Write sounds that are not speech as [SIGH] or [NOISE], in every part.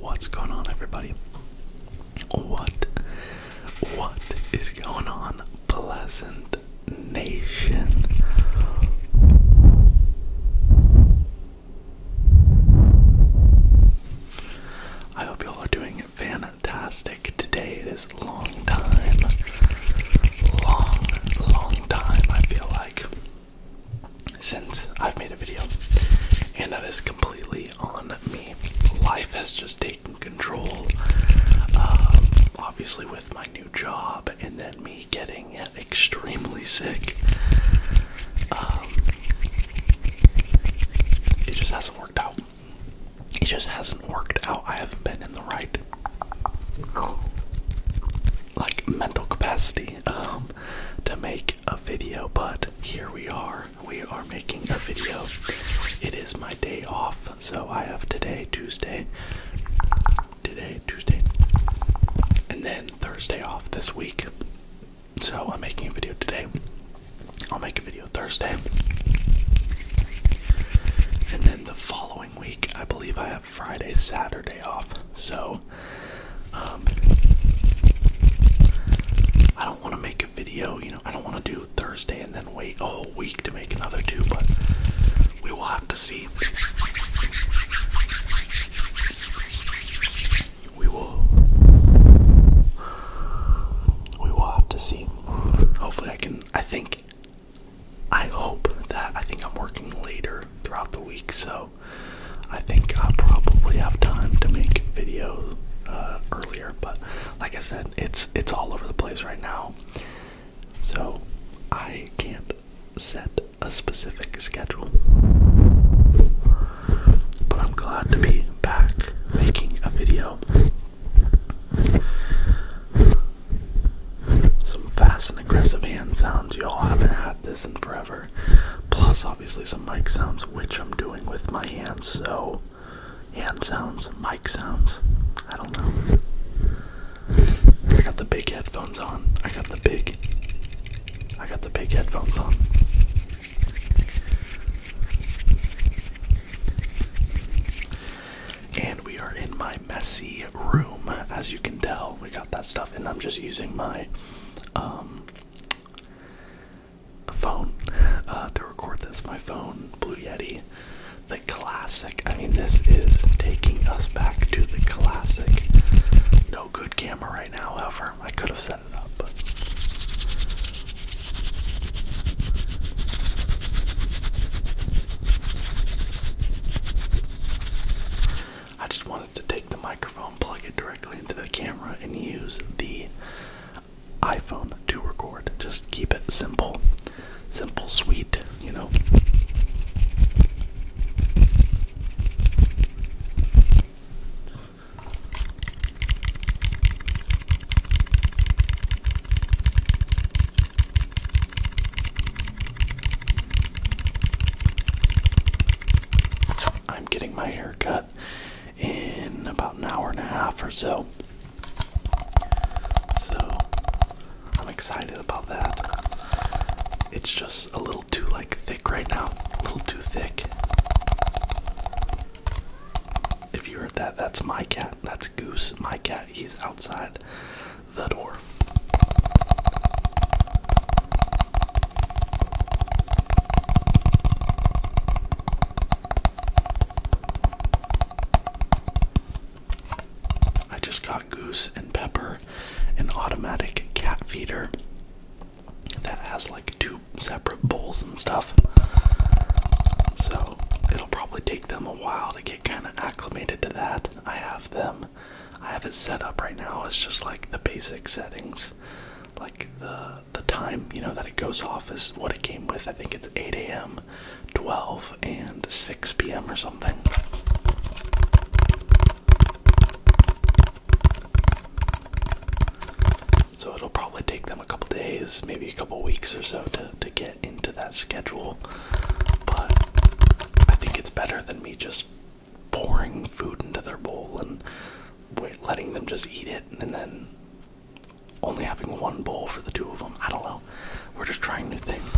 What's going on, everybody? What? What is going on? Pleasant nation. I hope y'all are doing fantastic today. It is a long time. Long, long time, I feel like, since I've made a video. And that is completely on me. Life has just taken control. Um, obviously, with my new job and then me getting extremely sick. Um, it just hasn't worked out. It just hasn't worked out. I haven't been in the right like mental capacity um, to make a video, but here we are. We are making a video. It is my day off, so I have today, Tuesday, today, Tuesday, and then Thursday off this week. So I'm making a video today. I'll make a video Thursday. And then the following week, I believe I have Friday, Saturday off. So um, I don't want to make a video, you know, I don't want to do Thursday and then wait a whole week to make another two, but we will have to see. We will. We will have to see. Hopefully, I can. I think. I hope that. I think I'm working later throughout the week, so I think i probably have time to make videos uh, earlier. But like I said, it's it's all over the place right now, so I can't set a specific schedule. But I'm glad to be back making a video. Some fast and aggressive hand sounds, y'all haven't had this in forever. Plus, obviously, some mic sounds, which I'm doing with my hands, so hand sounds, mic sounds. I don't know. I got the big headphones on. I got the big. I got the big headphones on. And we are in my messy room, as you can tell. We got that stuff, and I'm just using my um, phone uh, to record this. My phone, Blue Yeti, the classic. I mean, this is taking us back to the classic. No good camera right now, however. I could have set it up, I just wanted to take the microphone, plug it directly into the camera, and use the iPhone to record. Just keep it simple simple, sweet, you know. I'm getting my hair cut in about an hour and a half or so. So I'm excited about that. It's just a little too like thick right now. A little too thick. If you heard that, that's my cat. That's Goose. My cat. He's outside the door. I just got goose and pepper, an automatic cat feeder that has like two separate bowls and stuff. So it'll probably take them a while to get kind of acclimated to that. I have them, I have it set up right now. It's just like the basic settings, like the the time you know that it goes off is what it came with. I think it's 8 a.m. 12 and 6 p.m. or something. So it'll probably take them a couple days, maybe a couple weeks or so to, to get into that schedule. But I think it's better than me just pouring food into their bowl and letting them just eat it and then only having one bowl for the two of them. I don't know. We're just trying new things.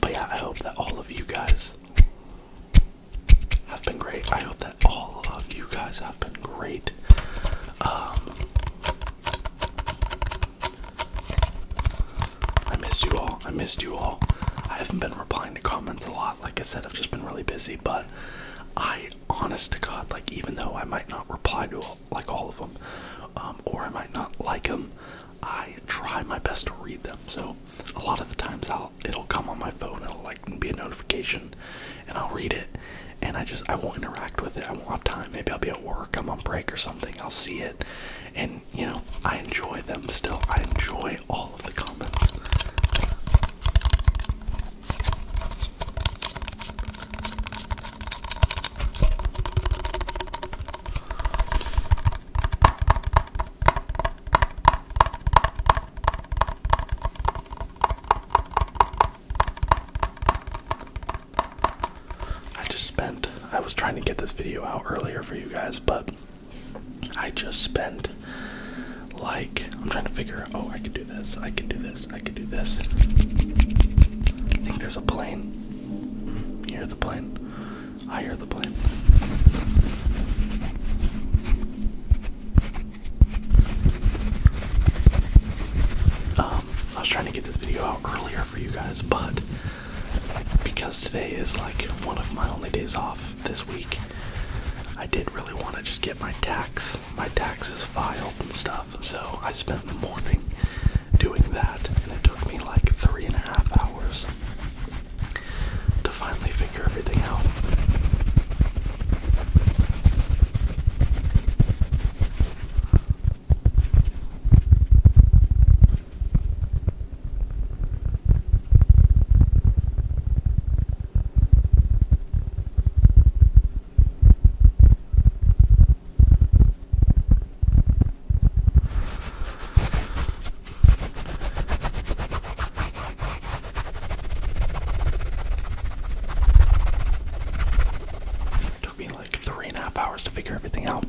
But yeah, I hope that all of you guys have been great. I hope that all of you guys have been great. Um, I missed you all. I missed you all. I haven't been replying to comments a lot. Like I said, I've just been really busy, but I, honest to God, like even though I might not reply to like all of them, um, or I might not like them, I try my best to read them. So a lot of the times I'll it'll come on my phone. It'll like be a notification, and I'll read it, and I just I won't interact with it. I won't have time. Maybe I'll be at work. I'm on break or something. I'll see it, and you know I enjoy them still. I enjoy all of the comments. I just spent, I was trying to get this video out earlier for you guys, but I just spent like I'm trying to figure out oh I could do this, I could do this, I could do this. I think there's a plane. You hear the plane? I hear the plane. Um, I was trying to get this video out earlier for you guys, but because today is like one of my only days off, this week. I did really want to just get my tax, my taxes filed and stuff, so I spent the morning doing that, and it took me like three and a half hours to finally figure everything out. It took me like three and a half hours to figure everything out.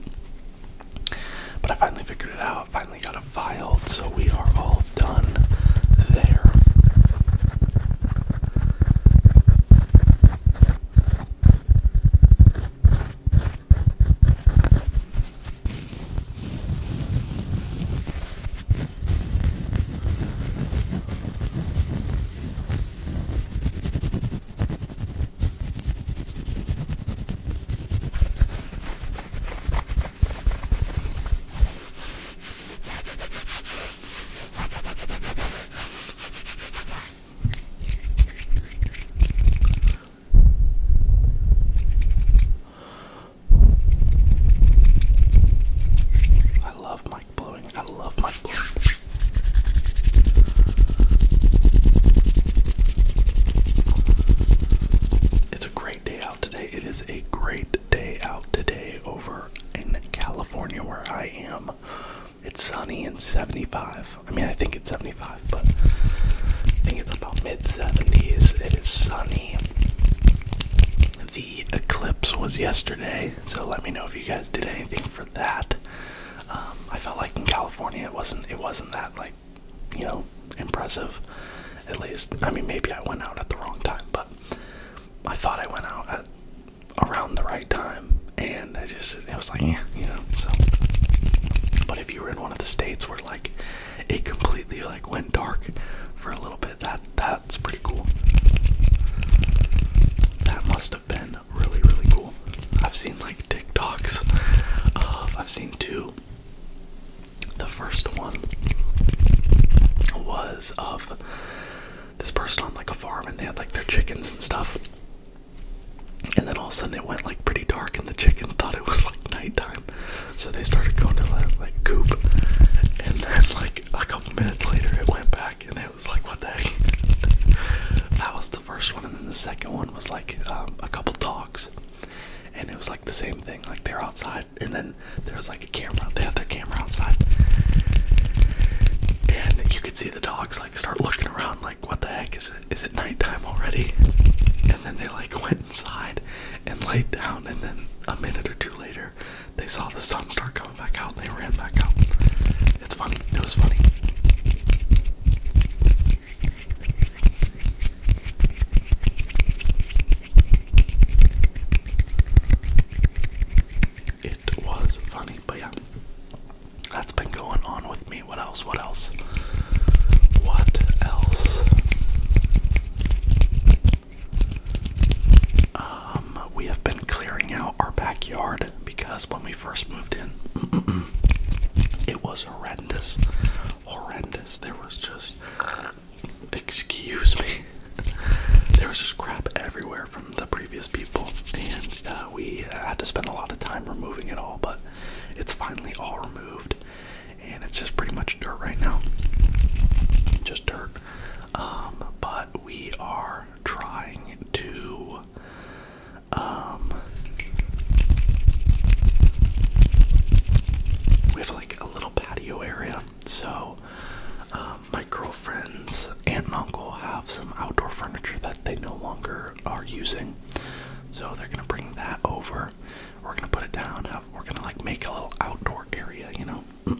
But I finally figured it out, finally got it filed, so we are all done there. I love mic blowing. I love mic blowing. It's a great day out today. It is a great day out today over in California where I am. It's sunny and 75. I mean, I think it's 75, but I think it's about mid 70s. It is sunny. The eclipse was yesterday, so let me know if you guys did anything for that. Um, I felt like in California it wasn't it wasn't that like you know, impressive. At least, I mean, maybe I went out at the wrong time, but I thought I went out at around the right time, and I just it was like, yeah, you know. So, but if you were in one of the states where like it completely like went dark for a little bit, that that's pretty cool. That must have been really really cool. I've seen like TikToks. Uh, I've seen two the first one was of this person on like a farm and they had like their chickens and stuff. And then all of a sudden it went like pretty dark and the chickens thought it was like nighttime. So they started going to that like coop. And then like a couple minutes later it went back and it was like what the heck? [LAUGHS] that was the first one and then the second one was like um, a couple dogs and it was like the same thing. Like they're outside, and then there was like a camera. They had their camera outside, and you could see the dogs like start looking around, like what the heck is it? Is it nighttime already? And then they like [LAUGHS] went inside and laid down, and then a minute or two later, they saw the sun start coming back out, and they ran back out. It's funny. It was funny. It was funny, but yeah. That's been going on with me. What else? What else? What else? Um, we have been clearing out our backyard because when we first moved in, [CLEARS THROAT] it was horrendous horrendous. There was just, excuse me, [LAUGHS] there was just crap everywhere from the previous people, and uh, we had to spend a lot of time removing it all, but it's finally all removed, and it's just pretty much dirt right now. Just dirt. Um, but we are trying to um, we have like a little patio area, so um, my girlfriend's aunt and uncle have some outdoor furniture that they no longer are using. So they're gonna bring that over. We're gonna put it down. we're gonna like make a little outdoor area, you know. [COUGHS]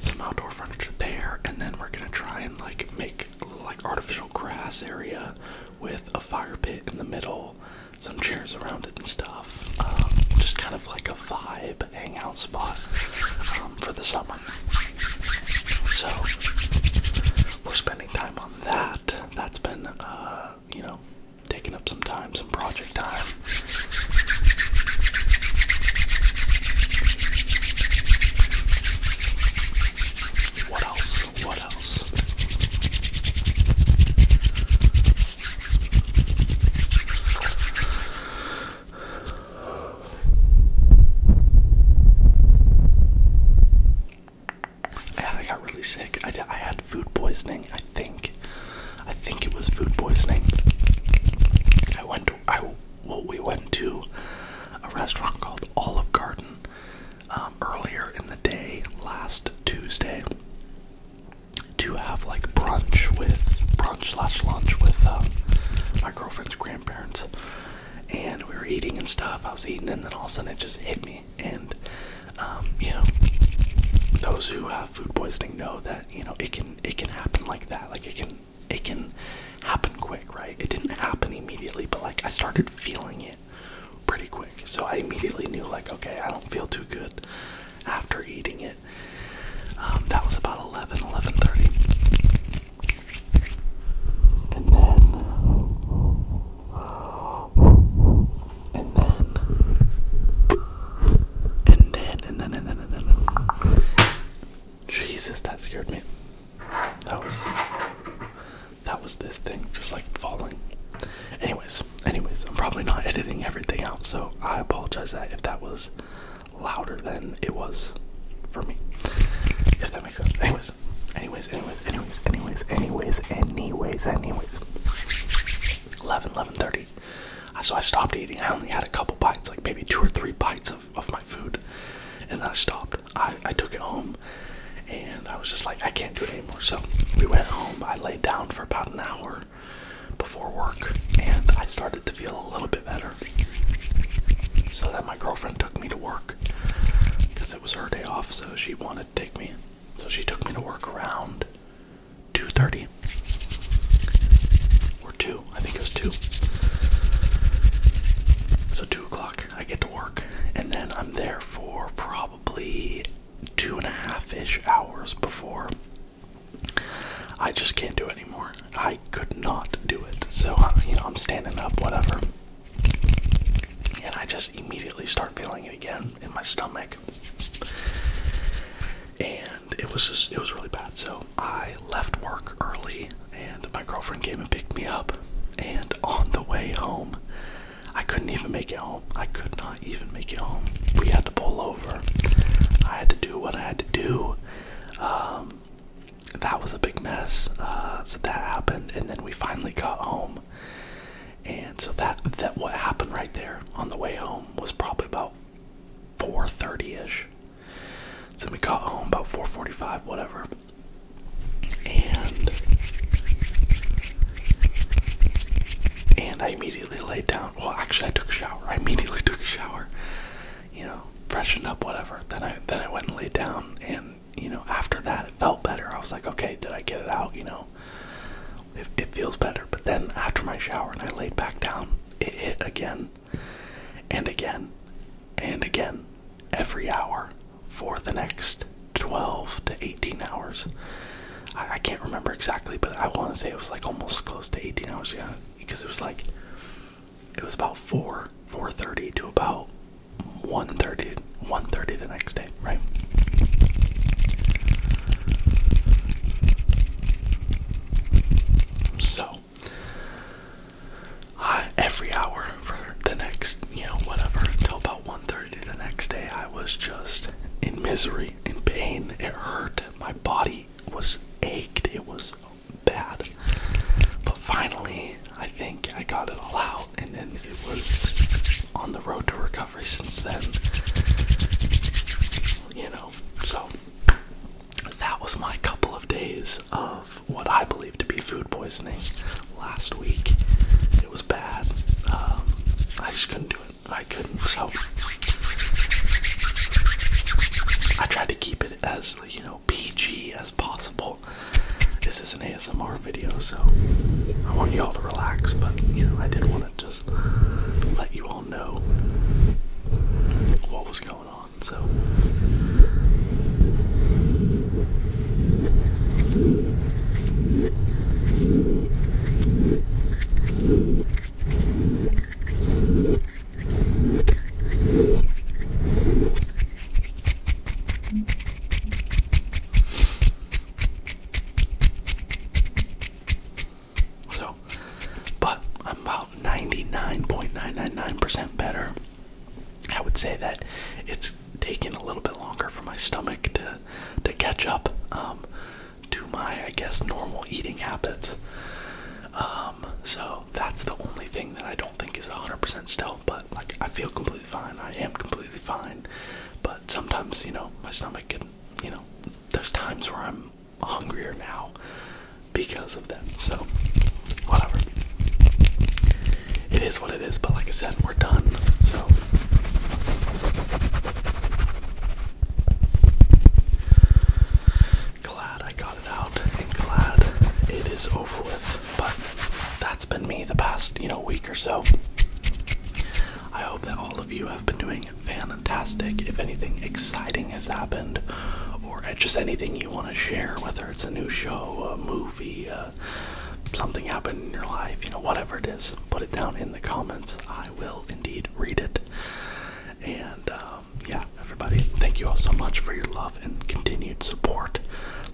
Some outdoor furniture there, and then we're gonna try and like make like artificial grass area with a fire pit in the middle, some chairs around it and stuff. Um, just kind of like a vibe hangout spot um, for the summer. So we're spending time on that. That's been, uh, you know, taking up some time, some project time. What else? What else? Yeah, I got really sick. I, I had food poisoning. I think. I think it was food poisoning. I went I well, we went to a restaurant called Olive Garden um, earlier in the day last Tuesday to have like brunch with brunch slash lunch with uh, my girlfriend's grandparents, and we were eating and stuff. I was eating, and then all of a sudden it just hit me. And um, you know, those who have food poisoning know that you know it can it can happen like that. Like it can it can happen quick, right? It didn't happen immediately, but like I started feeling it pretty quick. So I immediately knew like, okay, I don't feel too good after eating it. Um, that was about 11, 11.30. And then, and then, and then, and then, and then, and then, Jesus, that scared me. That was that was this thing just like falling. Anyways, anyways, I'm probably not editing everything out, so I apologize that if that was louder than it was for me. If that makes sense. Anyways, anyways, anyways, anyways, anyways, anyways, anyways, anyways. 11, 11.30. So I stopped eating. I only had a couple bites, like maybe two or three bites of, my food and then I stopped. I, I took it home and I was just like, I can't do it anymore. So we went home. I laid down for about an hour before work and I started to feel a little bit better. So then my girlfriend took me to work because it was her day off, so she wanted to take me. So she took me to work around 2.30 or 2. I think it was two. So two o'clock, I get to work, and then I'm there for probably two and a half ish hours before I just can't do it anymore. I could not do it. So you know, I'm standing up, whatever, and I just immediately start feeling it again in my stomach, and it was just it was really bad. So I left work early and my girlfriend came and picked me up. And on the way home, I couldn't even make it home. I could not even make it home. We had to pull over. I had to do what I had to do. Um, that was a big mess. Uh, so that happened, and then we finally got home. And so that that what happened right there on the way home was probably about 4:30ish. So we got home about 4:45, whatever. And and I immediately laid down. Well, actually, I took a shower. I immediately [LAUGHS] took a shower. You know, freshened up, whatever. Then I then I went and laid down, and you know, after that, it felt better. I was like, okay, did I get it out? You know, it, it feels better. But then after my shower and I laid back down, it hit again and again and again every hour for the next 12 to 18 hours. I, can't remember exactly, but I want to say it was like almost close to 18 hours. Yeah, because it was like it was about 4 4:30 to about 1:30 1:30 the next day, right? So uh, every hour for the next, you know, whatever, until about 1.30 the next day, I was just in misery, in pain. It hurt. My body was ached. It was bad. But finally, I think I got it all out, and then it was on the road to recovery since then. You know, so that was my couple of days of what I believe to be food poisoning last week. It was bad. Um, I just couldn't do it. I couldn't. So I tried to keep it as you know PG as possible. This is an ASMR video, so I want you all to relax. But you know, I did want to just let you all know what was going on. So so, but I'm about 99.999% better. I would say that it's taken a little bit longer for my stomach to to catch up um, to my, I guess, normal eating habits. Um, so that's the only thing that I don't think is 100% still. But like, I feel completely fine. I am completely fine. But sometimes, you know, my stomach can, you know, there's times where I'm hungrier now because of that, So, whatever. It is what it is, but like I said, we're done. So, glad I got it out and glad it is over with. But that's been me the past, you know, week or so. I hope that all of you have been doing fantastic. If anything exciting has happened, or just anything you want to share, whether it's a new show, a movie, uh, something happened in your life, you know, whatever it is, put it down in the comments. I will indeed read it. And um, yeah, everybody, thank you all so much for your love and continued support.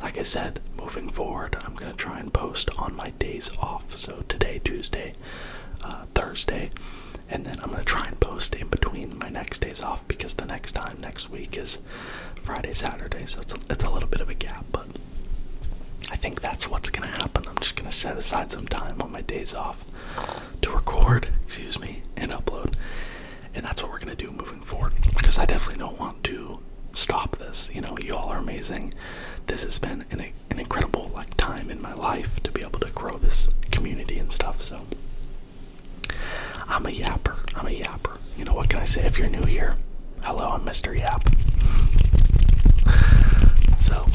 Like I said, moving forward, I'm going to try and post on my days off. So today, Tuesday, uh, Thursday, and then I'm gonna try and post in between my next days off because the next time next week is Friday, Saturday, so it's a, it's a little bit of a gap, but I think that's what's gonna happen. I'm just gonna set aside some time on my days off to record, excuse me, and upload, and that's what we're gonna do moving forward because I definitely don't want to stop this. You know, y'all are amazing. This has been an an incredible like time in my life to be able to grow this community and stuff. So I'm a yapper. I'm a yapper. You know what can I say? If you're new here, hello, I'm Mr. Yap. so,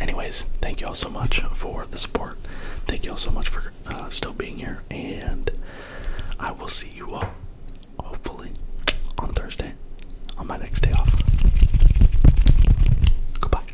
anyways, thank you all so much for the support. Thank you all so much for uh, still being here, and I will see you all hopefully on Thursday on my next day off. Goodbye.